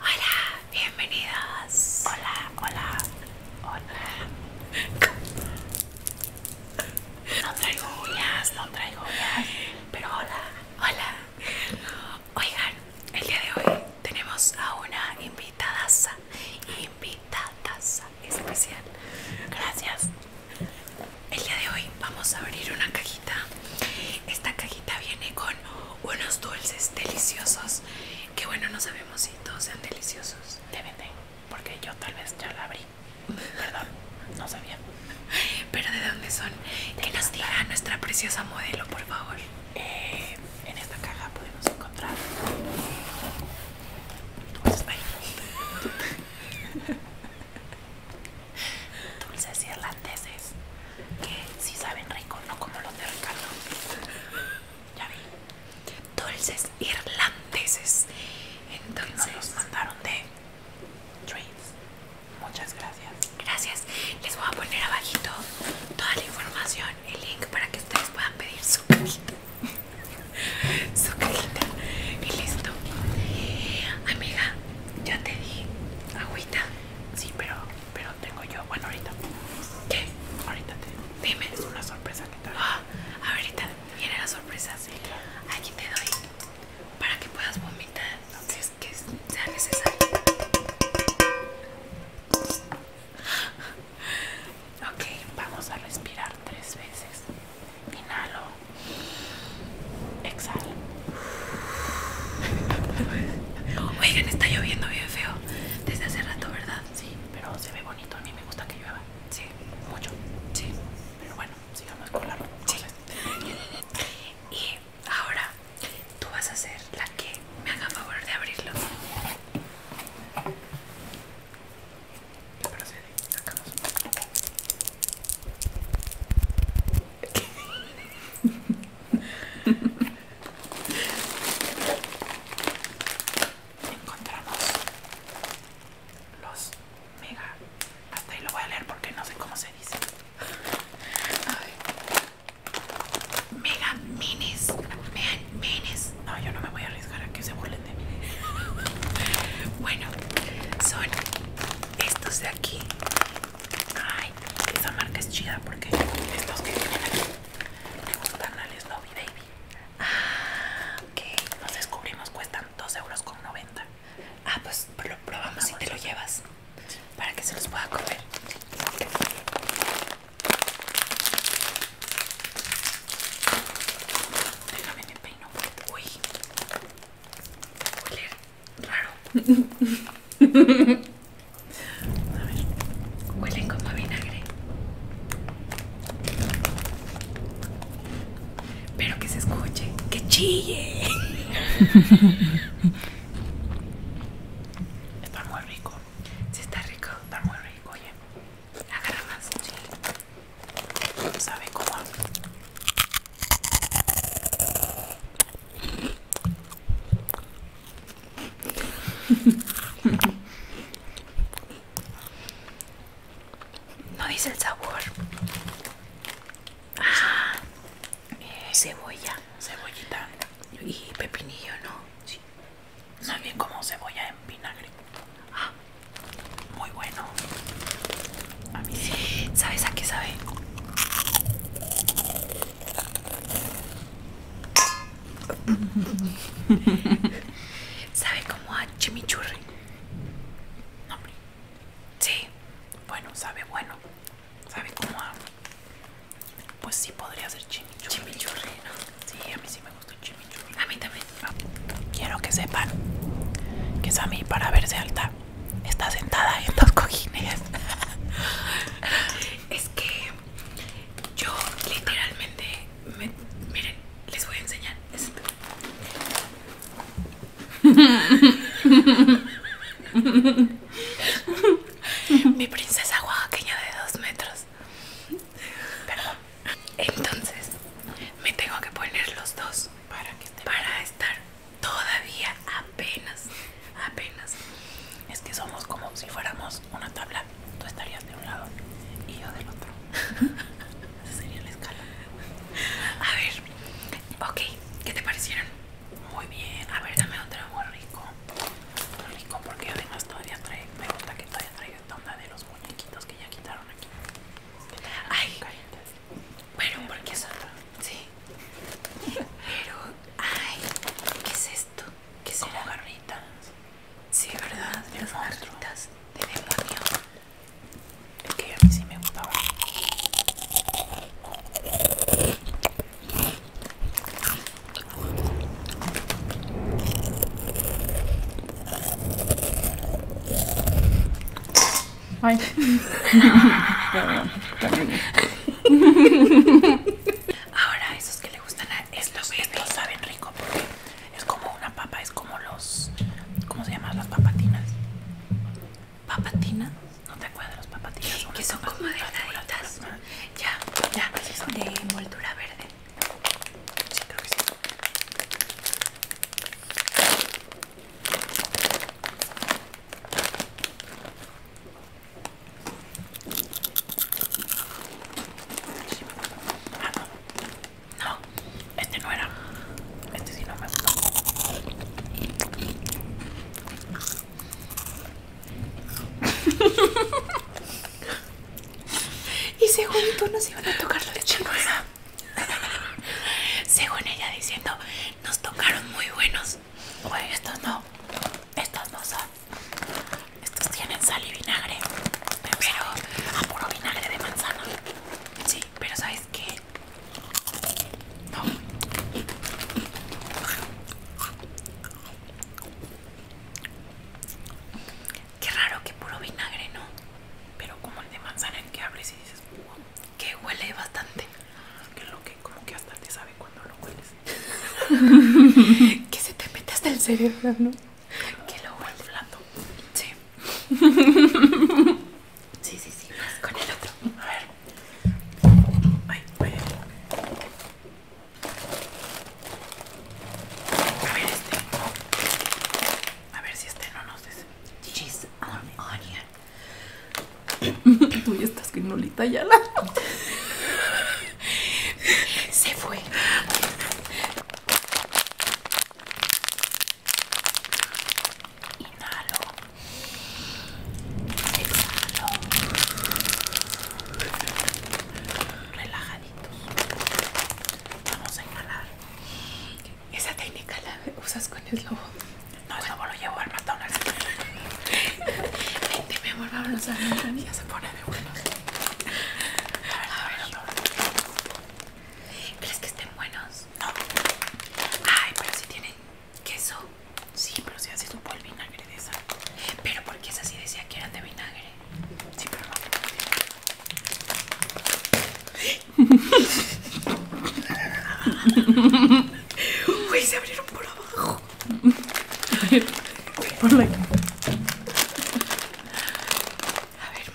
Hola, bienvenidas. Hola, hola, hola. No traigo uñas, no traigo uñas, pero hola, hola. Oigan, el día de hoy tenemos a una invitadaza, invitadaza especial. Gracias. El día de hoy vamos a abrir una cajita. Esta cajita viene con unos dulces deliciosos que bueno no sabemos si todos sean deliciosos Deben porque yo tal vez ya la abrí perdón no sabía pero de dónde son que nos diga nuestra preciosa modelo por favor eh, en esta caja podemos encontrar eh, pues, dulces irlandeses que si saben rico, no como los de Ricardo. Ya vi. Dulces irlandeses. Entonces nos mandaron de Trades. Muchas gracias. Gracias. Les voy a poner abajito toda la información, el link para que ustedes puedan pedir su cajita. su Y listo. Amiga, ya te di agüita. Sí, pero pero tengo yo, bueno ahorita ¿Qué? Ahorita te dime Es una sorpresa que te ah, Ahorita viene la sorpresa sí, Aquí te doy para que puedas vomitar que sea necesario Ok, vamos a respirar tres veces Inhalo Exhalo Oigan, está lloviendo bien feo desde hace rato, ¿verdad? Sí, pero se ve bonito. A mí me gusta que llueva. Sí, mucho. Sí, pero bueno, sigamos con la sí. Y ahora tú vas a ser la que me haga favor de abrirlo. Encontramos los mega. Hasta ahí lo voy a leer porque no sé cómo se dice. Mega minis. Mega minis. No, yo no me voy a arriesgar a que se burlen de mí. bueno, son estos de aquí Ay, esa marca es chida porque estos que tienen aquí me gustan Snowy Baby. Ah, ok. Nos descubrimos cuestan 2,90 euros. Ah, pues lo probamos y te lo llevas. Para que se los pueda comer. Déjame mi peino. Uy raro. huelen como vinagre. Pero que se escuche, que chille. Está muy rico. si está rico. Está muy rico, oye. Agarra más. chile. Sabe cómo. No dice el sabor. Ah, cebolla. Cebollita. Y pepinillo, ¿no? Sí. No es bien como cebolla en vinagre. Ah. muy bueno. A mí sí. ¿Sabes a qué sabe? Sabe como a chimichurri. No, hombre. Sí. Bueno, sabe bueno. Sabe como a. Pues sí podría ser chimichurri. Chimichurri, ¿no? Sí, a mí sí me gusta el chimichurri. A mí también. Ah, quiero que sepan que Sammy para verse alta está sentada en dos cojines. es que yo literalmente miren les voy a enseñar esto mi princesa oaxaqueña de dos metros perdón entonces me tengo que poner los dos para, que para estar todavía apenas apenas. Es que somos como si fuéramos una tabla. Tú estarías de un lado y yo del otro. Esa sería la escala. A ver, ok, ¿qué te parecieron? Muy bien, a ver, dame otro muy rico. Muy rico porque además todavía trae, me gusta que todavía traiga esta onda de los muñequitos que ya quitaron aquí. Ay, Bueno, porque es otra. Sí, pero, ay, ¿qué es esto? ¿Qué será? Como garritas. Sí, ¿verdad? Las garritas de demonio. Es que a mí sí me gustaba. Ay. Ahora, esos que le gustan a estos, estos saben rico porque es como una papa, es como los. ¿Cómo se llaman las papatinas? ¿Papatinas? ¿No te acuerdas de las papatinas? que son como de naditas. Ya, ya, son. De envoltura verde. Sí, creo que sí. Ah, no. este no era. Este sí no me y según tú nos iban a tocar los leche este según ella diciendo, nos tocaron muy buenos. Pues estos no. Estas dos Estas tienen sal y vinagre. Pero a puro vinagre de manzana. Sí, pero ¿sabes qué? No. Qué raro que puro vinagre, ¿no? Pero como el de manzana en que abres y dices, uh, que huele bastante. Qué que como que hasta te sabe cuando lo hueles. que se te mete hasta el cerebro, ¿no? Que lo huele blando. Sí. sí, sí, sí. con el otro. A ver. Ay, ay, A ver este. A ver si este no nos des. Cheese on onion. Tú ya estás con ya la Se fue. Inhalo. Exhalo. Relajaditos. Vamos a inhalar. Esa técnica la usas con el eslobo. No, lobo lo llevo al McDonald's. Vente, mi amor, vamos a ver. Ya se pone de buenos. A ver, ¿Crees que estén buenos? No. Ay, pero si tienen queso. Sí, pero si un un el vinagre de esa. Pero porque esa sí decía que eran de vinagre. Sí, pero no. Uy, se abrieron por abajo. A ver,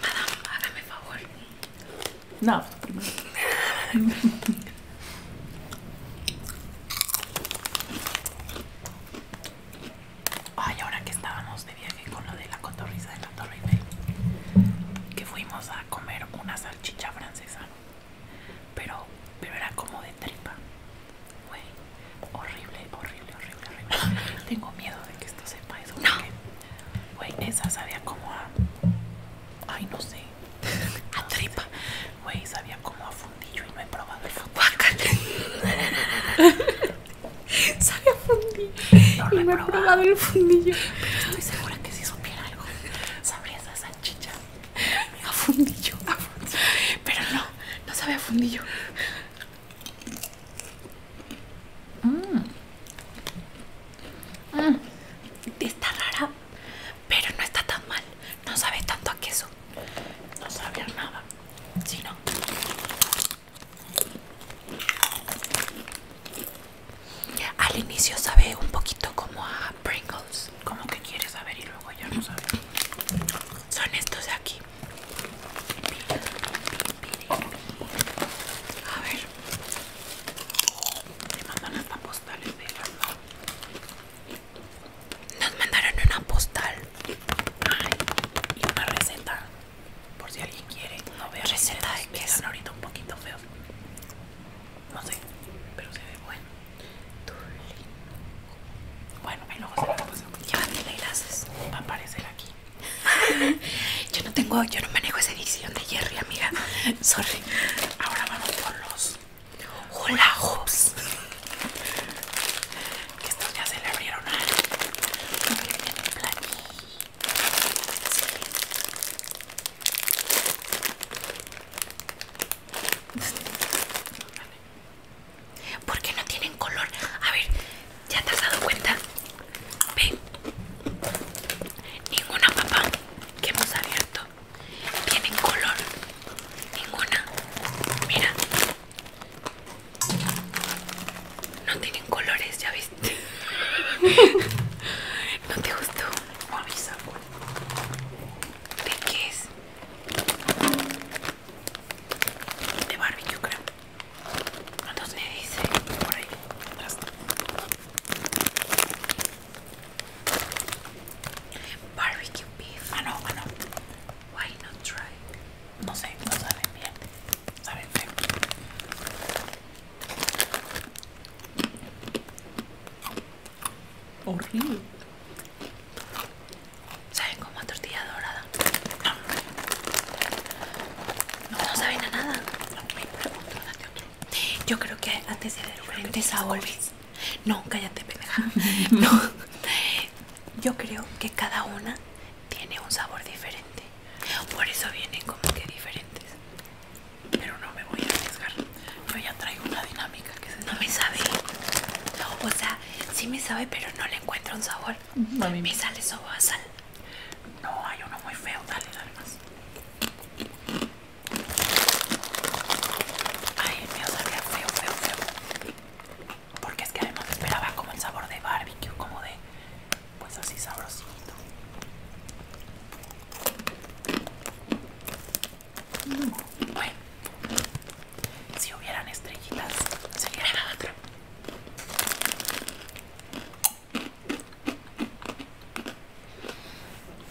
madame, hágame favor. No. Ay, ahora que estábamos de viaje con lo de la cotorriza de la Torre Eiffel, que fuimos a comer una salchicha francesa pero, era como de tripa. Güey, horrible, horrible, horrible, horrible. Tengo miedo de que esto sepa eso. No. Güey, esa sabía como a... Ay, no sé. A tripa. Güey, sabía como a fundillo y no he probado el fundillo. sabía fundillo. y no he probado el fundillo. Pero estoy segura que si supiera algo, sabría esa salchicha. a fundillo, Pero no, no sabe a fundillo. Mm. Mm. Está rara, pero no está tan mal. No sabe tanto a queso. No sabe nada. Si Al inicio sabe un poquito como a Pringles. Pues, como que quieres saber y luego ya no sabe. Son estos de aquí. A ver. Me mandan hasta postales de la ¿no? Nos mandaron una postal. y una receta. Por si alguien quiere. No veo receta de queso. ahorita un poquito feos. No sé, pero se ve bueno. Bueno, me luego se va a pasar. Ya, Va a aparecer aquí. yo no tengo, yo no manejo esa edición de Jerry, amiga. Sorry. Ahora vamos con los ¡Holajos! Esto Que estos ya se le abrieron a porque no tienen color. A ver, ya te has dado cuenta, Ven, ninguna papá que hemos abierto tienen color, ninguna. Mira, no tienen colores, ya viste. ¿No te gustó? ¿De qué es? de barbecue creo dice por ahí barbecue beef ah no ah no why not try no sé no saben bien saben Horrible. ¿Saben como tortilla dorada? No, saben a nada. Yo creo que antes de diferentes sabores. No, cállate, pendeja. No. Yo creo que cada una tiene un sabor diferente. Por eso vienen como que diferentes. Pero no me voy a arriesgar. Yo ya traigo una dinámica que se No me sabe. o sea, sí me sabe, pero no le encuentro un sabor. A mí me sale sabor a sal. No, hay uno muy feo. Dale, dale más. Ay, el mío sabía feo, feo, feo. Porque es que además esperaba como el sabor de barbecue, como de. Pues así sabrosito. Bueno, si hubieran estrellitas, sería la otra.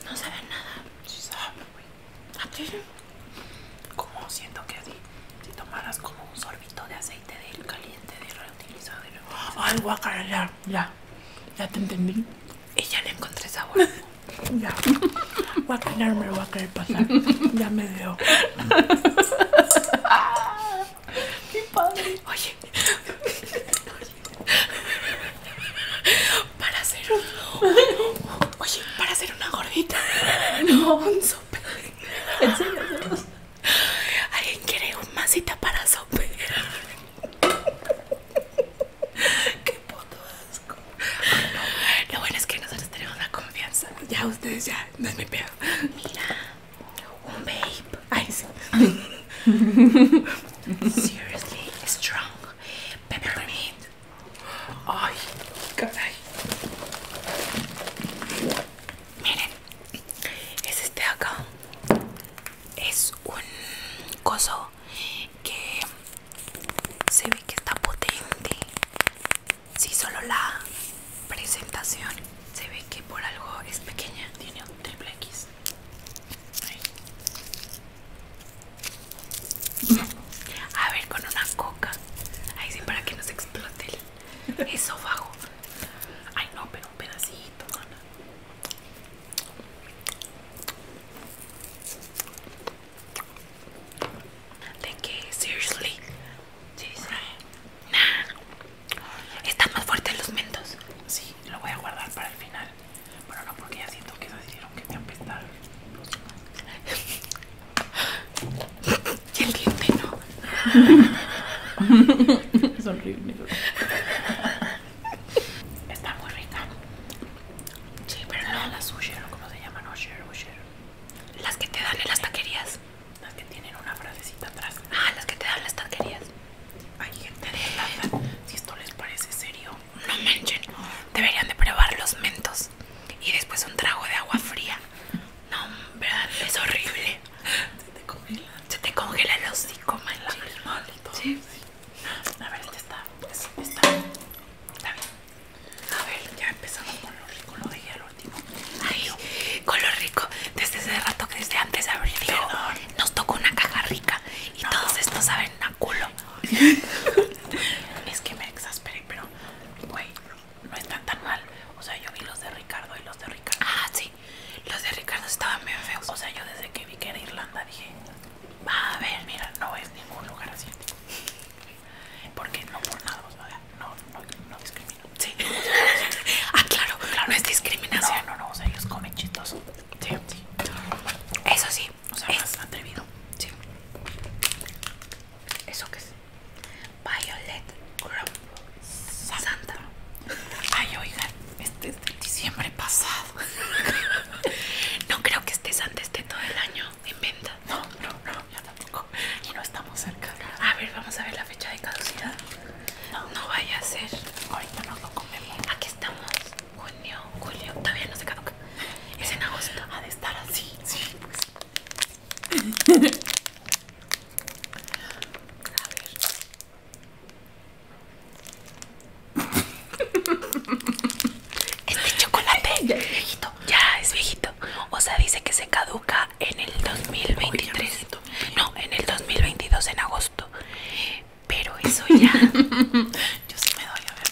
No saben nada. Sí saben, güey. ¿A ah, ti? Como siento que así, si tomaras como un sorbito de aceite de el caliente, de reutilizado Ay, guacara, ya, ya. Ya te entendí. Y ya le encontré sabor. Ya. Voy a quedarme, voy a querer pasar. Ya me dio. ¡Qué padre! Oye. Para hacer un. Oye, para hacer una gordita. No, un sope. ¿En serio? ¿Alguien quiere un masita para sope? Qué puto asco. Ah, Lo bueno es que nosotros tenemos la confianza. Ya ustedes ya, no es mi peor Mira, un vape. Ay, sí. Seriously strong. Peppermint. Ay, caray. Miren, es este acá. Es un coso que se ve que está potente si solo la presentación se ve que por algo es pequeña tiene un triple X a ver con una coca ahí sí para que no se explote Eso bajo ay no pero un pedacito ¿De que, seriously. Sí, sí. Nah. Están más fuertes los mentos. Sí, lo voy a guardar para el final. Pero no porque ya siento que se hicieron que me apestaron. y el diente no. es Está muy rica. Sí, pero no las Usher, ¿cómo se llaman? Usher, Usher. Las que te dan en las taquerías. Las que tienen una frasecita atrás. Ah, las que te dan las taquerías. Ay, gente de Si esto les parece serio, no manchen. Deberían de probar los mentos. Y después un trago de agua fría. No, verdad, es horrible. Se te congela. Se te congela el hocico, La sí. Sí. A ver, ¿qué está. está. Está a ver, ya empezamos con lo rico, lo dejé al último. Ay, con lo rico. Desde ese rato que desde antes de abrir nos tocó una caja rica y todos estos saben a culo. es que me exasperé, pero güey, no están tan mal. O sea, yo vi los de Ricardo y los de Ricardo. Ah, sí. Los de Ricardo estaban bien feos. O sea, yo desde que vi que era Irlanda dije, va a ver, mira, no es ningún lugar así. Porque no por nada, no, no, no discrimino. Sí. ah, claro, claro, no es discriminación. No, no, no, o sea, ellos comen chitos Sí, Eso sí. O sea, es atrevido. Sí. ¿Eso qué es? Violet Santa. Ay, oigan, este es de diciembre pasado. no creo que estés antes de todo el año. En venta No, no, no, ya tampoco. Y no estamos cerca. A ver, vamos a ver la fecha de caducidad. No, no vaya a ser. Ahorita no lo comemos. Aquí estamos. Junio, julio. Todavía no se caduca. Es en agosto. Ha de estar así. Sí, pues. a ver. Este chocolate ya es viejito. Ya es viejito. O sea, dice que se caduca en el 2023. no, en el 2022, en agosto. Pero eso ya. Yo sí me doy, a ver.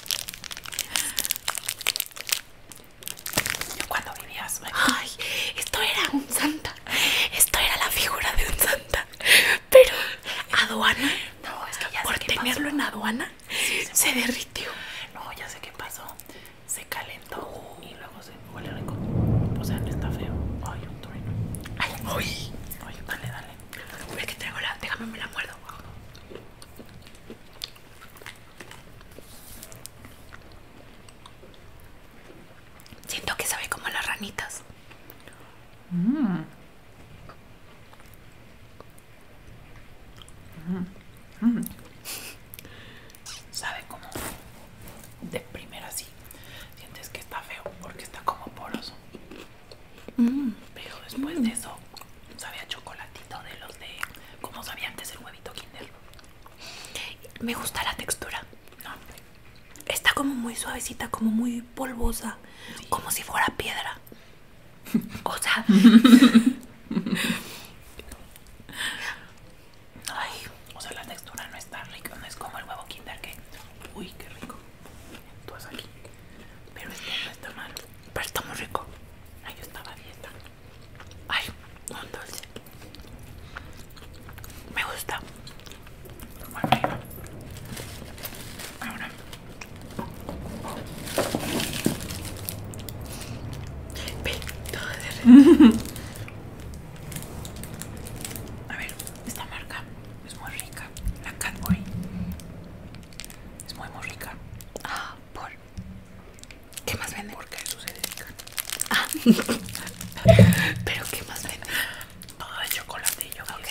Yo cuando vivías. Ay, esto era un santa. Esto era la figura de un santa. Pero, aduana. No, es que ya Por tenerlo en aduana, se, derritió. No, ya sé qué pasó. Se calentó y luego se huele rico. O sea, no está feo. Ay, un trueno. Ay, uy. dale, dale. Es que traigo la. Déjame, me la muerdo. Siento que sabe como las ranitas. Mm. Sabe como de primera así Sientes que está feo porque está como poroso. Mm. Pero después de eso, sabía chocolatito de los de como sabía antes el huevito Kinder. Me gusta la textura. Está como muy suavecita, como muy polvosa, como si fuera piedra. O sea. Ay, o sea, la textura no está rica, no es como el huevo Kinder que. Uy, qué rico. Tú aquí. Pero esto no está mal. Pero está muy rico. Ay, yo estaba ahí dieta. Ay, un dulce. Me gusta. Bueno, ahora a ver, esta marca es muy rica. La Cadbury. Es muy, muy rica. Ah, por. ¿Qué más vende? Porque eso se dedica Ah. Pero ¿qué más vende? Todo de chocolate, yo ok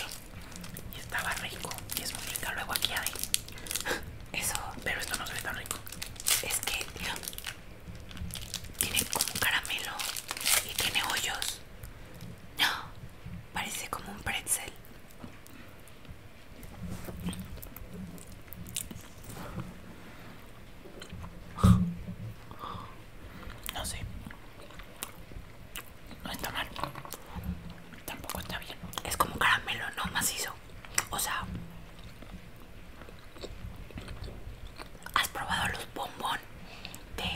Y estaba rico. Y es muy rica. Luego aquí hay eso. Pero esto no se ve tan rico. Es que, tiene como caramelo y tiene hoyos. No, parece como un pretzel. No sé. No está mal. Tampoco está bien. Es como caramelo, ¿no? Macizo. O sea, ¿has probado los bombón de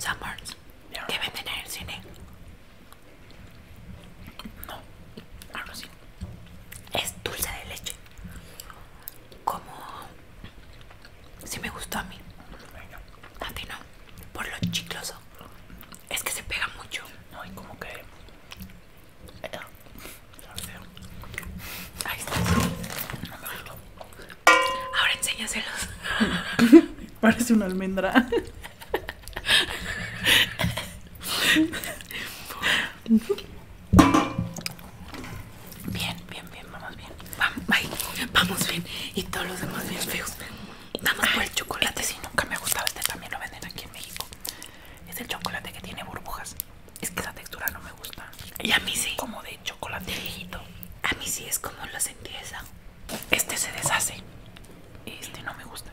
Summers que venden en el cine? No, algo así. Es dulce de leche. Como si sí me gustó a mí. A ti no, por lo chicloso. Es que se pega mucho. No, y como que. Ahí está. Ahora enséñaselos. Parece una almendra. Bien, bien, bien, vamos bien. Vamos, bien. Y todos los demás bien feos. Vamos más por el chocolate. si este nunca me ha gustado. Este también lo venden aquí en México. Es el chocolate que tiene burbujas. Es que esa textura no me gusta. Y a mí sí. Como de chocolate viejito. A mí sí es como la empieza. Este se deshace. Este no me gusta.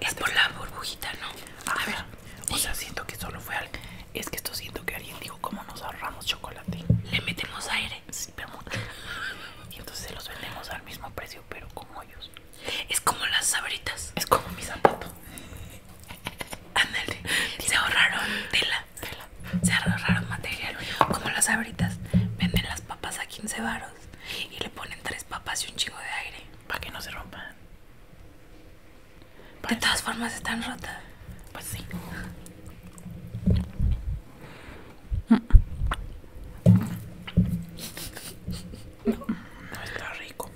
Es por la burbujita, ¿no? A, ver. O sea, siento que solo fue algo. Es que esto siento que alguien dijo, ¿cómo nos ahorramos chocolate? Le metemos aire. Sí, pero Y entonces se los vendemos al mismo precio, pero como ellos. Es como las sabritas. Es como mi zapato. Ándale. Se ahorraron tela. tela. Se ahorraron material. Como las sabritas. Venden las papas a 15 varos. Y le ponen tres papas y un chingo de aire. Para que no se rompan. de todas formas están rotas. Pues sí. No, no está rico.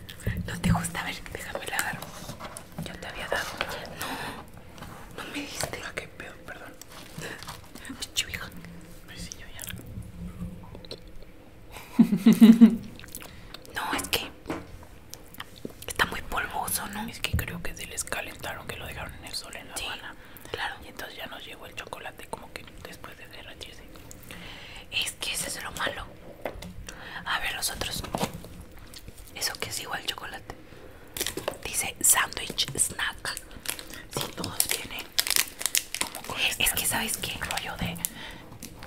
¿No te gusta? A ver, déjame la Yo te había dado. No, no me diste. Ah, qué pedo, perdón. Picho viejo. Pues ya. no, es que está muy polvoso, ¿no? Es que creo que se les calentaron, que lo dejaron en el sol en La mañana claro. Y entonces ya nos llegó el chocolate como que después de derretirse. Eh, que ese es lo malo. A ver los otros. Eso que es igual chocolate. Dice sandwich snack. Si todos vienen Es que sabes qué rollo de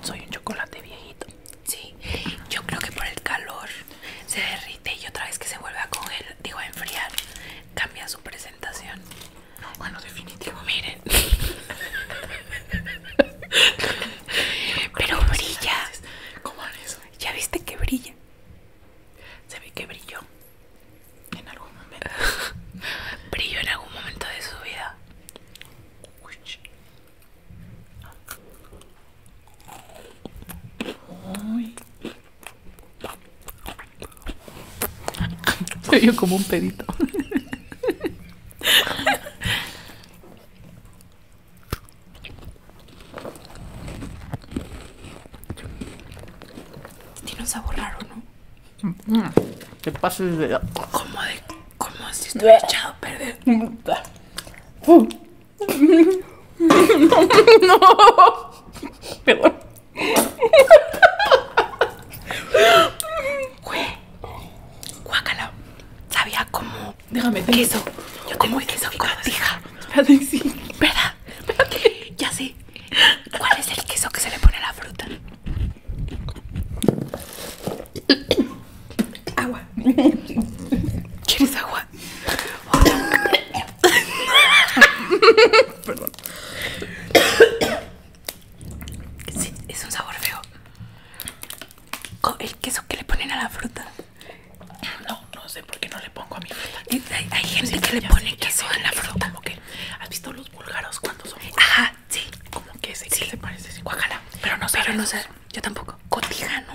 soy un chocolate viejito. Sí. Yo creo que por el calor se derrite y otra vez que se vuelve a coger, digo a enfriar, cambia su presentación. No, bueno, definitivo, miren. Pero brilla. ¿Cómo eso? ¿Ya viste que brilla? Se ve que brilló en algún momento. brilló en algún momento de su vida. Uy. Se como un pedito. Tiene un sabor raro, ¿no? Te pases de... Como de... Como si estuviera echado a perder. No, Perdón. Guácala. Sabía como. queso. Yo como queso con la sí. ¿Verdad? Ya sé. ¿Cuál es el queso que se le pone a la fruta? Agua. ¿Quieres agua? Perdón. Sí, es un sabor feo. el queso que le ponen a la fruta. No, no sé por qué no le pongo a mi fruta. Hay, gente que le pone queso a la fruta. ¿Has visto los búlgaros cuando son? Ajá, sí. Como que ese sí. se parece sin Pero no sé. Pero no sé. Yo tampoco. Cotijano.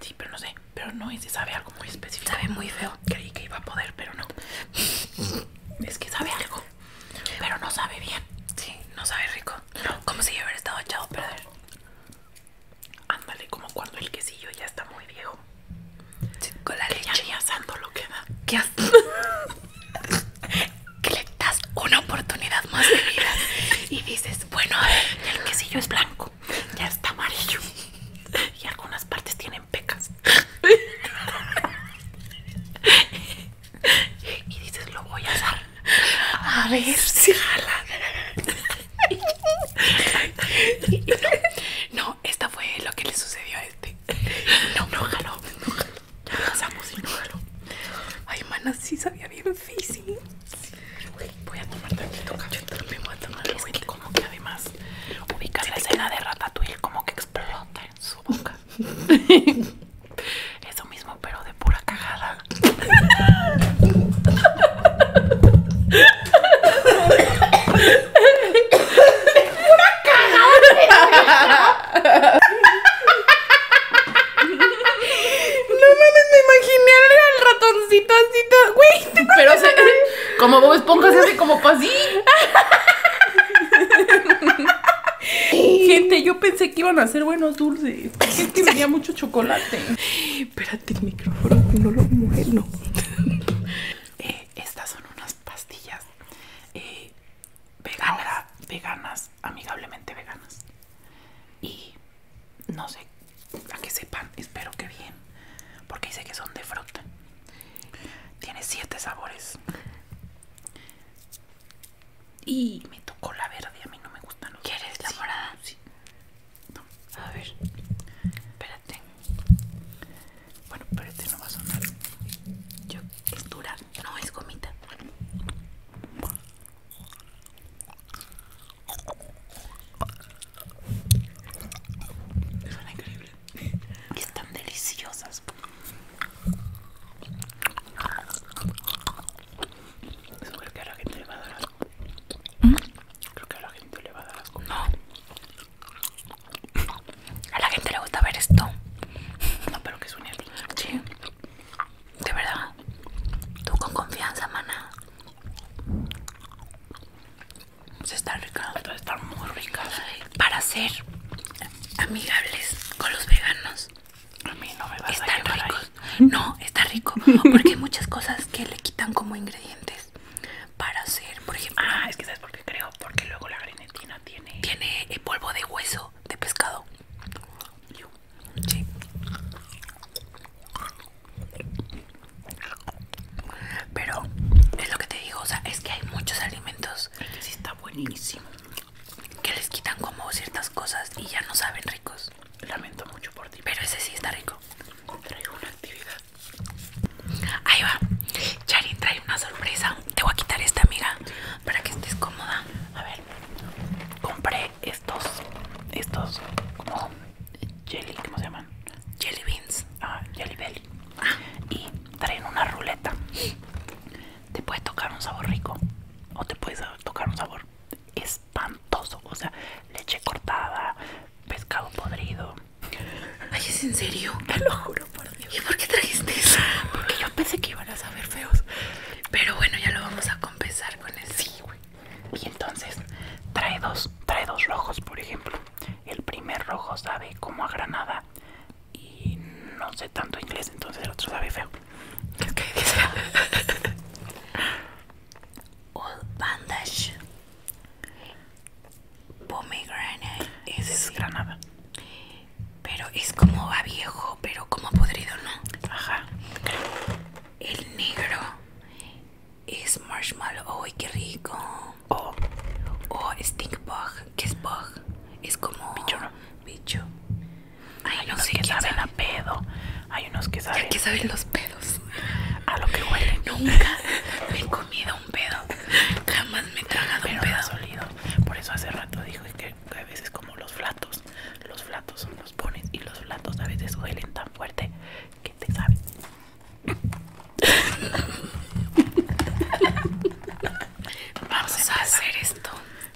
Sí, pero no sé. Pero no ese sabe algo muy específico. Sabe muy feo. Creí que iba a poder, pero no. es que sabe algo. Pero no sabe bien. Sí, no sabe rico. Como si yo hubiera estado echado a perder. Ándale, como cuando el quesillo ya está muy viejo. con la leña leche. asando lo queda. da que le das una oportunidad más de vida. Y dices, bueno, el quesillo es blanco. Ya está amarillo. Y algunas partes tienen pecas. y dices lo voy a hacer a ver si jala no, esta fue lo que le sucedió a este no, no jaló no jaló, ya y no jaló ay mana, sí sabía bien físico voy a tomar tantito yo también voy a tomar como que además ubicar la escena de Ratatouille como que explota su boca. Eso mismo, pero de pura cagada. ¡Pura cajada No mames, me imaginé al ratoncito así Güey, pero se, como vos pongas así como así Gente, yo pensé que iban a ser buenos dulces. Es que mucho chocolate. Espérate, el micrófono no lo muero. Eh, estas son unas pastillas eh, veganas, veganas, amigablemente veganas. Y no sé, para que sepan, espero que bien. Porque dice que son de fruta. Tiene siete sabores. Y me tocó la verde, a mí no me gusta no ¿Quieres la morada? Sí. A ver. Espérate. Bueno, espérate, no va a sonar. Yo, es dura, no es gomita. Son increíbles. Están deliciosas creo que a la gente le va a dar asco. ¿Mm? Creo que a la gente le va a dar asco. No. A la gente le gusta ver esto. No, pero que es un hielo Sí. De verdad. Tú con confianza, mana. Se está rica. Está muy rica. Para hacer amigables con los veganos. no No, está rico. Porque hay muchas cosas que le quitan como ingredientes para hacer, por ejemplo. Ah, es que sabes por qué creo, porque luego la grenetina tiene. Tiene polvo de hueso de pescado. Pero es lo que te digo, o sea, es que hay muchos alimentos. está buenísimo que les quitan como ciertas cosas y ya no saben ricos. Lamento mucho por ti. Pero ese sí está rico. Traigo una actividad. Ahí va. Charin trae una sorpresa. Te voy a quitar esta mira para que estés cómoda. A ver. Compré estos. Estos. como Jelly, ¿cómo se llaman? Jelly beans. Ah, jelly belly. Ah. Y traen una ruleta te puede tocar un sabor rico o te puede tocar un sabor espantoso, o sea, leche cortada, pescado podrido. Ay, ¿es en serio? Te lo juro por Dios. ¿Y por qué trajiste eso? Porque yo pensé que iban a saber feos. Pero bueno, ya lo vamos a compensar con el sí, güey. Y entonces, trae dos, trae dos rojos, por ejemplo. El primer rojo sabe como a granada y no sé tanto inglés, entonces el otro sabe feo. es Old bandage, pomegranate, es, es granada. Pero es como va viejo, pero como podrido, ¿no? Ajá. El negro es marshmallow. o qué rico! Oh. O O stink bug. Que es bug? Es como bicho. bicho. Hay unos que saben a pedo. Hay unos que saben. que los pedos? A lo que huele Nunca me he comido un pedo. Jamás me he tragado un pedo. Por eso hace rato dijo que a veces como los flatos. Los flatos son los pones y los flatos a veces huelen tan fuerte que te sabes Vamos a hacer esto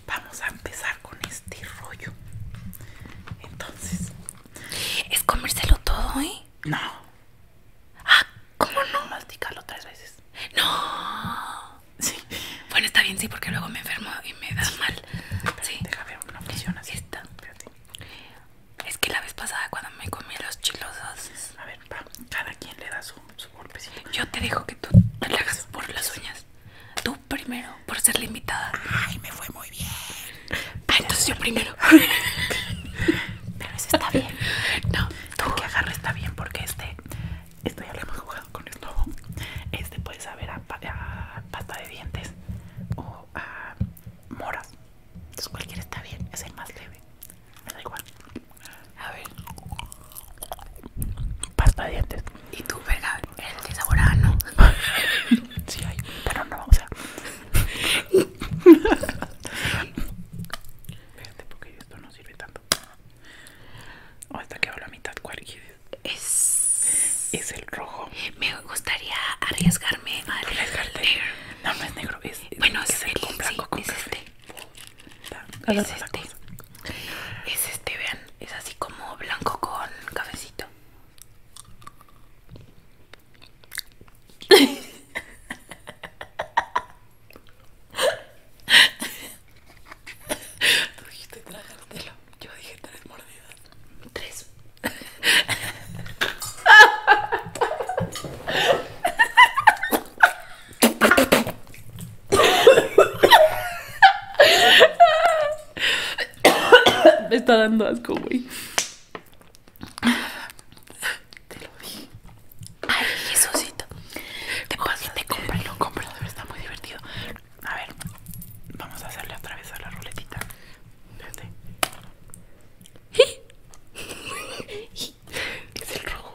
vamos a empezar con este rollo. Entonces, es comérselo todo, hoy? ¿eh? No. Ah, ¿cómo no? Masticarlo tres veces. No. Sí. Bueno, está bien, sí, porque luego me enfermo y me da mal. sí. funciona Es que la vez pasada cuando me comí los chilosos. A ver, pa, cada quien le da su, golpecito. Yo te que tú te por las uñas. Tú primero, por ser la invitada. Ay, me fue muy bien. Ah, entonces yo primero. Pero eso está bien. No, tú que agarre está bien porque este, esto ya lo hemos jugado con esto. Este puede saber a, a pasta de dientes o a moras. Entonces cualquiera está bien, es el más leve. Me da igual. A ver. Pasta de dientes. ¿Y tú, verga? ¿El de sabor no? sí hay, pero no, o sea. Fíjate porque esto no sirve tanto. O hasta que la mitad, ¿cuál quieres? Es... es el rojo. Me gustaría arriesgarme al negro. No, no es negro, es... Bueno, es, el con blanco sí, con este es este es este vean es así como blanco con cafecito Tú dijiste yo dije tres mordidas. Tres. Me está dando asco, güey. Te lo dije. Ay, Jesucito. Te pasas, te cómpralo, cómpralo, está muy divertido. A ver, vamos a hacerle otra vez a la ruletita. Es el rojo.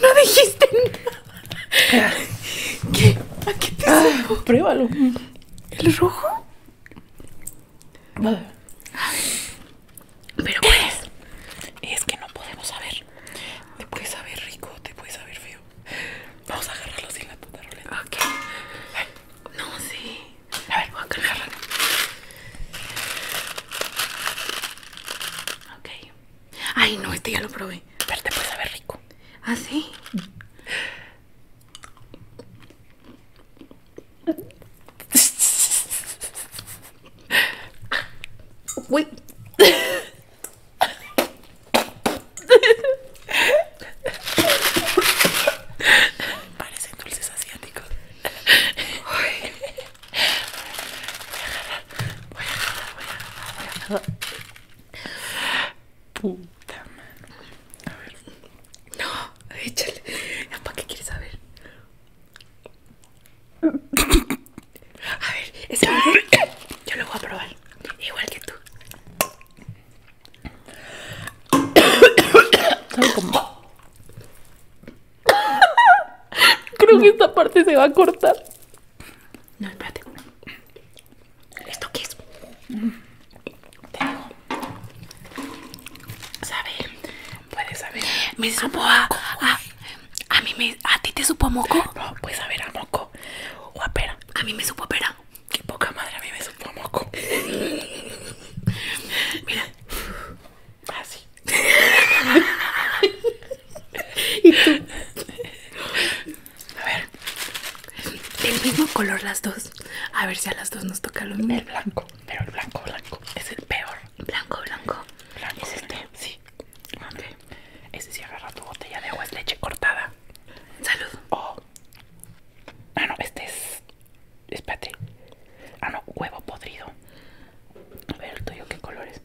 No dijiste nada. ¿Qué? ¿A qué te ah, Pruébalo. ¿El rojo? Pero ¿qué es que no podemos saber. Te puede saber rico, te puede saber feo. Vamos a agarrarlo sin la puta Roleta Ok. No, sí. A ver, voy a agarrarlo. Ok. Ay, no, este ya lo probé. Pero te puede saber rico. ¿Ah, sí? Parecen dulces asiáticos voy a agarrar, voy a agarrar, voy a agarrar. Puta madre A ver. No, échale. ¿Para qué quieres saber? A ver, ese yo lo voy a probar. Igual que tú. Sabe como. Creo que esta parte se va a cortar. No, espérate. ¿Esto qué es? Te digo. Sabe. Puedes saber. Me supo a. A, mí me. ¿A ti te supo a moco? No, pues a ver, a moco. O a pera. A mí me supo a pera. Qué poca madre, a mí me supo a moco. Mira. Así. Ah, y tú. A ver. El mismo color las dos. A ver si a las dos nos toca lo mismo. El blanco. Pero el blanco, blanco. Es el peor. Blanco, blanco. ¿Es este? Sí. Okay. Ese sí agarra tu botella de agua es leche cortada. Salud. Oh. Ah, no, este es Espérate. Ah, no, huevo podrido. A ver el tuyo, ¿qué colores?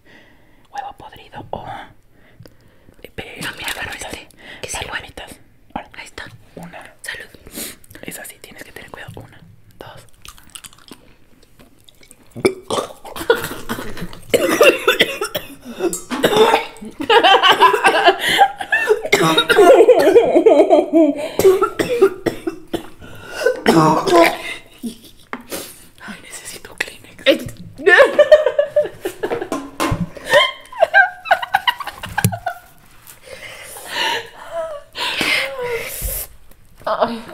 Huevo podrido o. Oh. no, mira, agarro este. Ahí está. Una. Salud. Es así, tienes que tener cuidado. Una, dos. Ay, necesito Kleenex. Eh, Ay.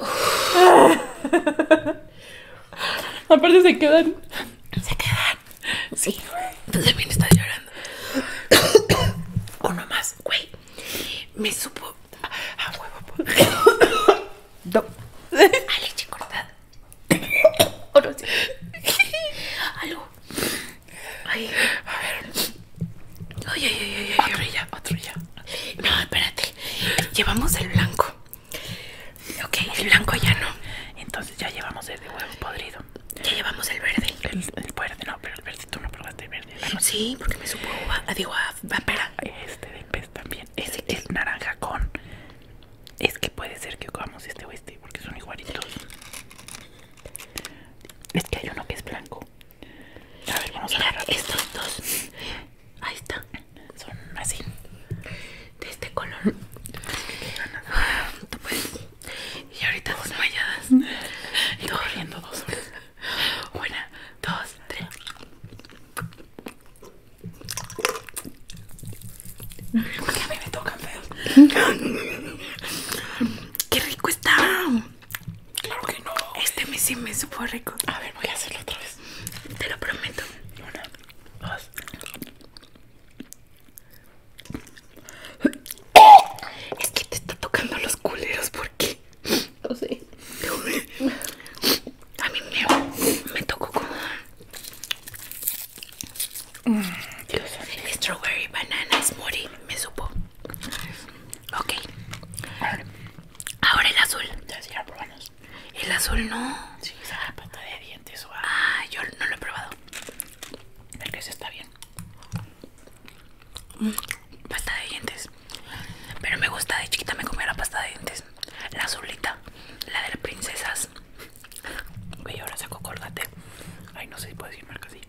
Aparte se quedan. Se quedan. Sí. Tú también está llorando. Uno más, güey. Me supo Ah, a huevo. No. Pues. A leche cortada. O no Algo. Ay. A ver. Otro ya, otro ya. No, espérate. Llevamos el blanco. Ok, el blanco ya no. Entonces ya llevamos el de huevo podrido. Ya llevamos el verde. El, el verde, no, pero el verde tú no probaste sí, porque me supo digo a, Este de pez también. Ese es, es naranja con. Es que puede ser que comamos este o este, porque son igualitos. Es que hay uno que es blanco. A ver, vamos a ver. Estos este. dos. Ahí está. Son así. De este color. Ah, y ahorita dos malladas. Y riendo dos una, dos, tres. Porque a mí me tocan feos. ¡Qué rico está! Claro que no. Este me sí me supo rico. A ver, voy a hacerlo otra vez. Te lo prometo. Una, dos. Es que te está tocando los culeros, ¿por qué? No A mí me, tocó como mm, El strawberry bananas mori Me supo. Ok. Ahora el azul. El azul no. Sí, esa la pata de dientes Ah, yo no lo he probado. El que se está bien. Pasta de dientes. Pero me gusta, de chiquita me comía la pasta de dientes. La azulita, la de las princesas. Y ahora saco colgate. Ay, no sé si puedo decir marca así.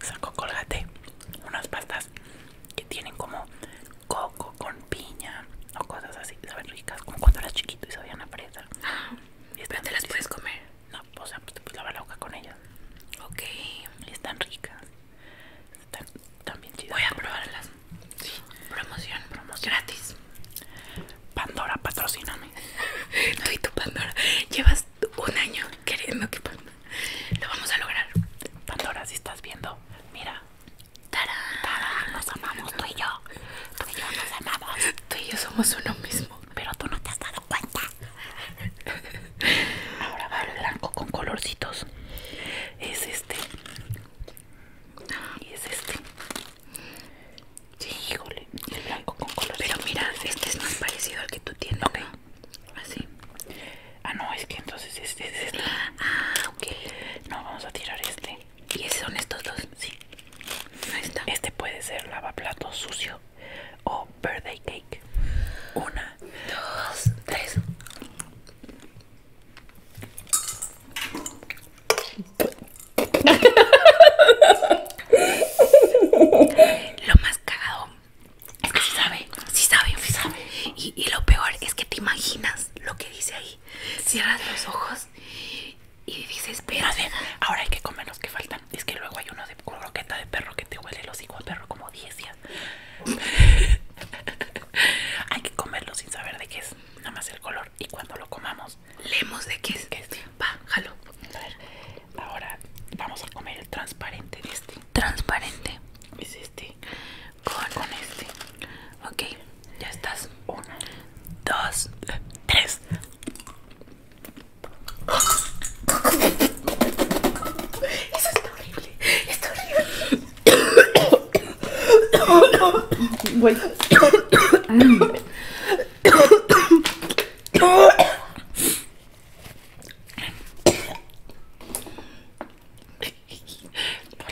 Saco colgate. Unas pastas que tienen como coco con piña o cosas así. Saben ricas, como cuando eras chiquito y sabían a fresa. Ah, y están te las puedes comer. No, o sea, pues te puedes lavar la boca con ellas. Ok. están ricas. Está bien chidas Voy a probarlas. Promoción, promoción. Gratis. Pandora, patrocíname. Tú y tu Pandora. Llevas un año queriendo que Pandora. Lo vamos a lograr. Pandora, si estás viendo, mira. ¡Tarán! Nos amamos, tú y yo. Tú y yo nos amamos. Tú y yo somos uno mismo. Pero tú no te has dado cuenta. Ahora va el blanco con colorcitos. Es este. Y es este. Sí, híjole. Y el blanco con colorcitos. Pero mira, este es más parecido al que tú tienes. Así. Ah, no, es que entonces este es este. Ah, ok. No, vamos a tirar este. ¿Y esos son estos dos? Sí. Este puede ser lavaplatos sucio o birthday cake. Una, dos, tres. Lo más cagado es que si sabe, si sabe, si sabe. Y, lo peor es que te imaginas lo que dice ahí. Cierras los ojos y dices, pero ahora hay que comer los que faltan. Es que luego hay uno de croqueta de perro que te huele los hijos a perro como 10 días Hay que comerlo sin saber de qué es, nada más el color. Y cuando lo comamos, leemos de qué es. Este. A ver, ahora vamos a comer el transparente de este. Transparente. Es este. Con, con este. Ok, ya estás. Uno, dos, tres. Eso está horrible. Esto es horrible.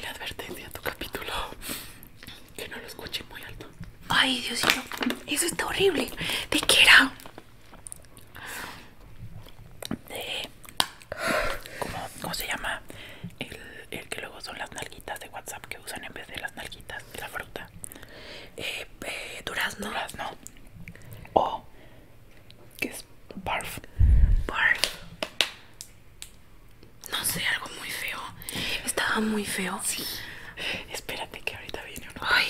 advertencia a tu capítulo. Que no lo escuche muy alto. Ay, Dios mío. eso está horrible. ¿De qué era? de ¿cómo, se llama? El, que luego son las nalguitas de WhatsApp que usan en vez de las nalguitas de la fruta. Eh, eh, durazno. Durazno. O que es barf. Barf. No sé, algo muy feo. Estaba muy feo. Sí. Espérate que ahorita viene uno. Ay.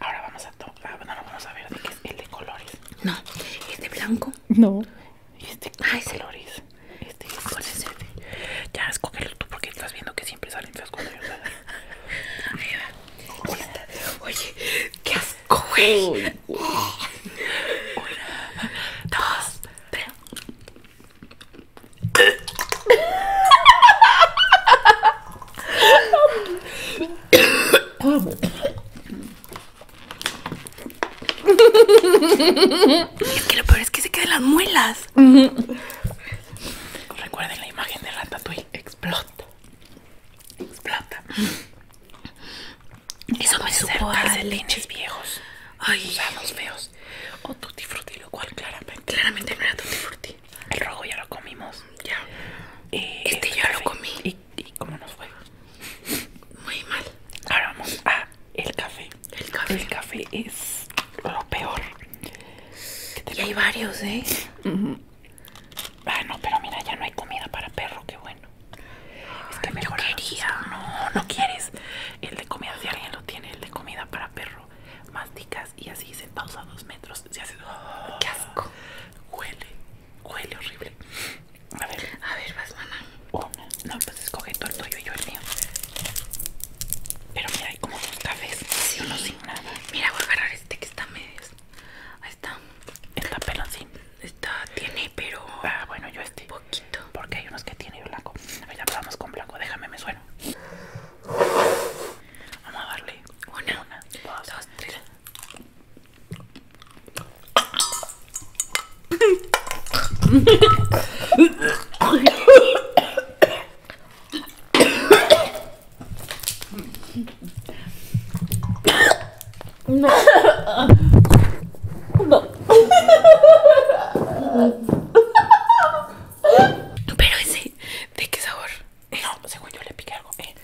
Ahora vamos a, tomar no, ah, no vamos a ver de qué es el de colores. No, este de blanco? No. Este Ay, de colores. Este es con ese. Ya escógelo tú porque estás viendo que siempre salen feos cuando yo Oye, oye, qué asco, güey. Una, dos, tres. es que lo peor es que se quedan las muelas. Recuerden la imagen de Ratatouille. Explota. Explota. Eso me supo a leches viejos. Ay. los feos. O tutti frutti, lo cual claramente. Claramente no era tutti frutti. El rojo ya lo comimos. Ya. Eh, este, ya lo comí. ¿Y, cómo nos fue? Muy mal. Ahora vamos a el café. El café. El café es lo peor. Y hay varios, ¿eh? Ah, no, pero mira, ya no hay comida para perro, qué bueno. que No, no quieres. El de comida, si alguien lo tiene, el de comida para perro. Masticas y así se pausa dos metros. Se hace. ¡Qué asco! Huele Huele horrible. A ver. A ver, vas, mamá. Una. No, pues escoge todo el tuyo y yo el mío. Pero mira, hay como dos cafés. Sí. Uno sin nada. Mira, voy a agarrar este que está medio. Ahí está. Está peloncín. Está, tiene, pero. Ah, bueno, yo este. Poquito. Porque hay unos que tiene blanco. A ver, ya probamos con blanco. Déjame, me sueno. Vamos a darle. Una, una, dos tres. No. Pero ese, ¿de qué sabor? No, según yo le piqué algo. Eh.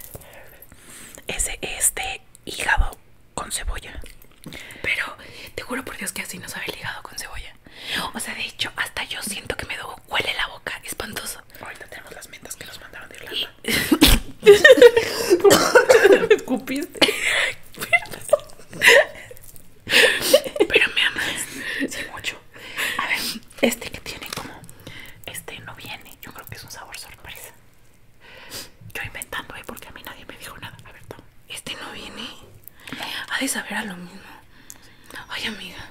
Ese es de hígado con cebolla. Pero te juro por Dios que así no sabe el hígado con cebolla. O sea, de hecho, hasta yo siento que me duele la boca. Espantoso. Ahorita tenemos las mentas que nos mandaron de Irlanda. me escupiste. Pero me amas. Sí, mucho. A ver, este que tiene como. Este no viene. Yo creo que es un sabor sorpresa. Yo inventando, ¿eh? Porque a mí nadie me dijo nada. A ver, Este no viene. Ha de saber a lo mismo. Ay, amiga.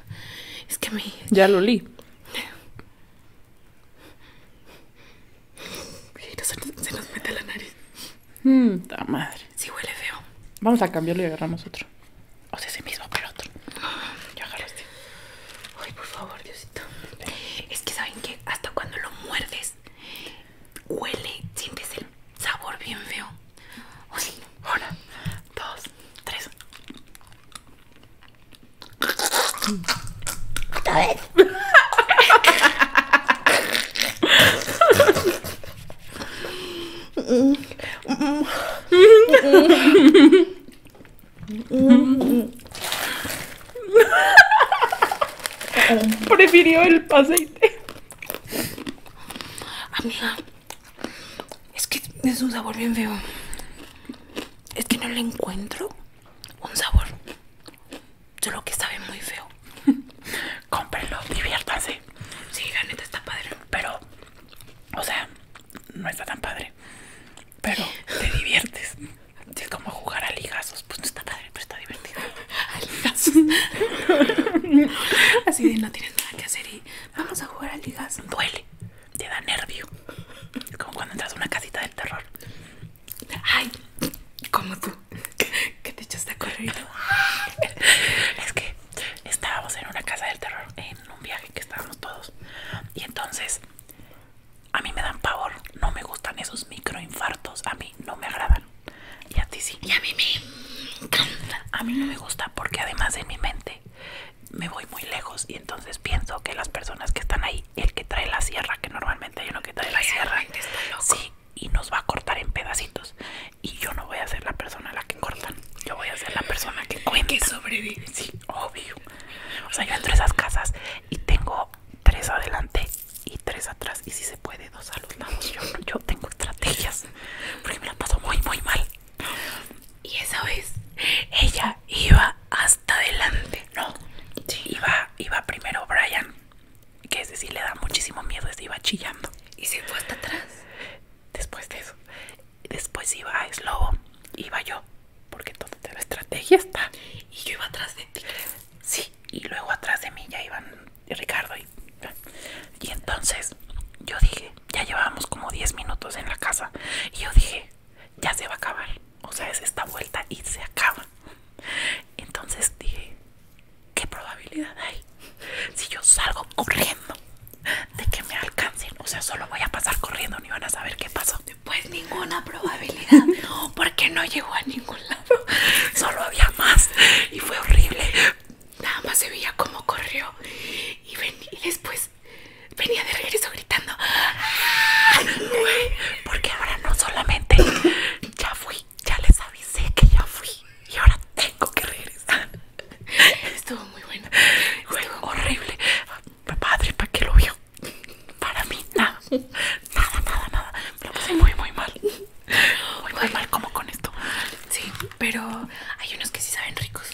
Es que me. Ya lo li. Se nos mete la nariz. Mmm, ta madre. Sí, huele feo. Vamos a cambiarlo y agarramos otro. O sea, ese mismo, pero otro. Yo agarro este. Ay, por favor, Dios. Es que saben que hasta cuando lo muerdes, huele, sientes el sabor bien feo. O sí, una, dos, tres. Prefirió el aceite. Amiga, es que es un sabor bien feo. Es que no le encuentro un sabor. Solo que sabe muy feo. Cómprenlo, diviértanse. Sí, la neta está padre. Pero, o sea, no está tan padre pero te diviertes. Es como jugar a ligazos, pues no está padre, pero está divertido. A ligazos. Así de no tienes nada que hacer y vamos a jugar a ligazos. Duele, te da nervio. como cuando entras a una casita del terror. Ay, como tú, que te echaste a correr. Es que estábamos en una casa del terror, en un viaje que estábamos todos. Y entonces a mí me dan pavor, no me gustan esos microinfartos, a mí no me agradan. Y a ti sí. Y a mí me encanta. A mí no me gusta porque además en mi mente me voy muy lejos y entonces pienso que las personas que están ahí, el que trae la sierra, que normalmente hay uno que trae la sierra, sí, y nos va a cortar en pedacitos. Y yo no voy a ser la persona a la que cortan, yo voy a ser la persona que Que sobrevive. Sí, obvio. O sea, yo entro a esas casas y tengo tres adelante y tres atrás y si se puede dos a los lados yo, tengo estrategias porque me la paso muy muy mal y esa vez ella iba hasta adelante no iba iba primero Brian que es decir le da muchísimo miedo se iba chillando y se fue hasta atrás después de eso después iba a iba yo porque entonces la estrategia está. Y yo iba atrás de ti. Sí, y luego atrás de mí ya iban Ricardo y... Y entonces yo dije, ya llevábamos como 10 minutos en la casa y yo dije, ya se va a acabar. O sea, es esta vuelta y se acaba. Entonces dije, ¿qué probabilidad hay? Si yo salgo corriendo de que me alcancen, o sea, solo voy a pasar corriendo, ni van a saber qué pasó pues ninguna probabilidad porque no llegó a ningún lado solo había más y fue horrible nada más se veía cómo corrió y, después venía de regreso gritando ¡Ah, porque ahora no solamente ya fui ya les avisé que ya fui y ahora tengo que regresar estuvo muy bueno, fue horrible padre, ¿para qué lo vio? Para mí, nada, nada, nada, nada. Me lo pasé muy, muy mal. Muy, muy mal, como con esto. Sí, pero hay unos que sí saben ricos.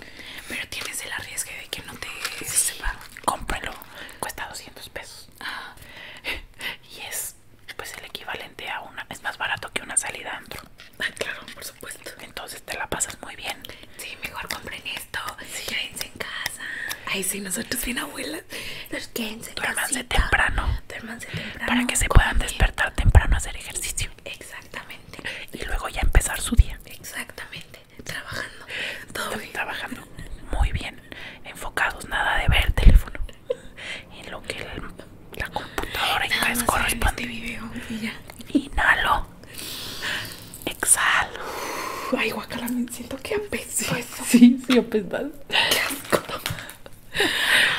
Pero tienes el riesgo de que no te sí. sepa. Cómpralo, cuesta 200 pesos. Ah. Y es, pues, el equivalente a una. Es más barato que una salida antro. Ah, claro, por supuesto. Entonces te la pasas muy bien. Sí, mejor compren esto. Sí, en casa. Ay, sí, nosotros bien abuelas. Los temprano. temprano. Para que se puedan despertar temprano a hacer ejercicio. Exactamente. Y luego ya empezar su día. Exactamente. Trabajando. Todo bien. Trabajando muy bien. Enfocados, nada de ver teléfono. En lo que la computadora y este y ya. Inhalo. Exhalo. Ay, guacala, me siento que apesto Sí, sí, apesado.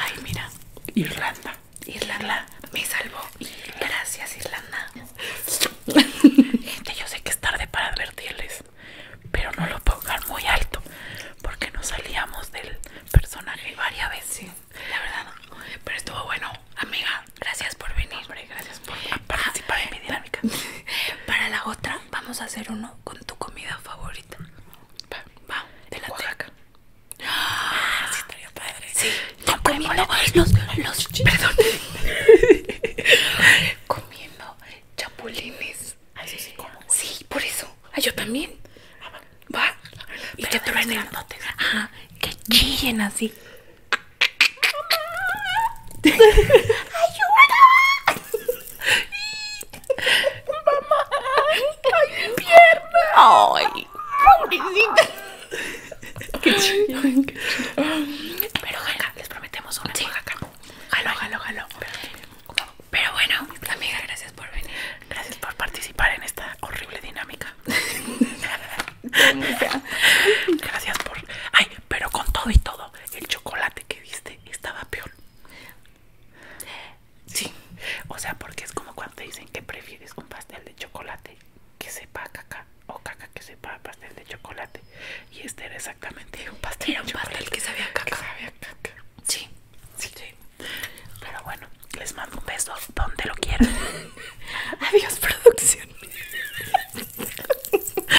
Ay, mira. Irlanda. Irlanda me salvó. Gracias, Irlanda. Gente, yo sé que es tarde para advertirles, pero no lo puedo dejar muy alto porque nos salíamos del personaje varias veces. La verdad, pero estuvo bueno, amiga. Gracias por venir. Para la otra, vamos a hacer uno con tu comida favorita. Va, de la teca ah, sí, estaría comiendo los, perdón, comiendo chapulines. Ah, sí, por eso. Ah, yo también. Va, y traen que truenen. Ajá, que chillen así. ¡Ayuda! ¡Mamá! ¡Ay, mi pierna! ¡Ay! ¡Pobrecita! ¡Qué chido! Pero venga, les prometemos un sí. Oaxaca. Jalo, jalo, jalo. Pero bueno, amiga, gracias por venir. Gracias por participar en esta horrible dinámica. gracias por. Ay, pero con todo y todo, el chocolate que viste estaba peor. Sí, o sea, porque es como cuando te dicen que prefieres un pastel de chocolate que sepa caca o caca que sepa pastel de chocolate. Y este era exactamente un pastel un pastel que sabía caca. caca. Sí. sí, sí. Pero bueno, les mando un beso donde lo quieran. Adiós, producción.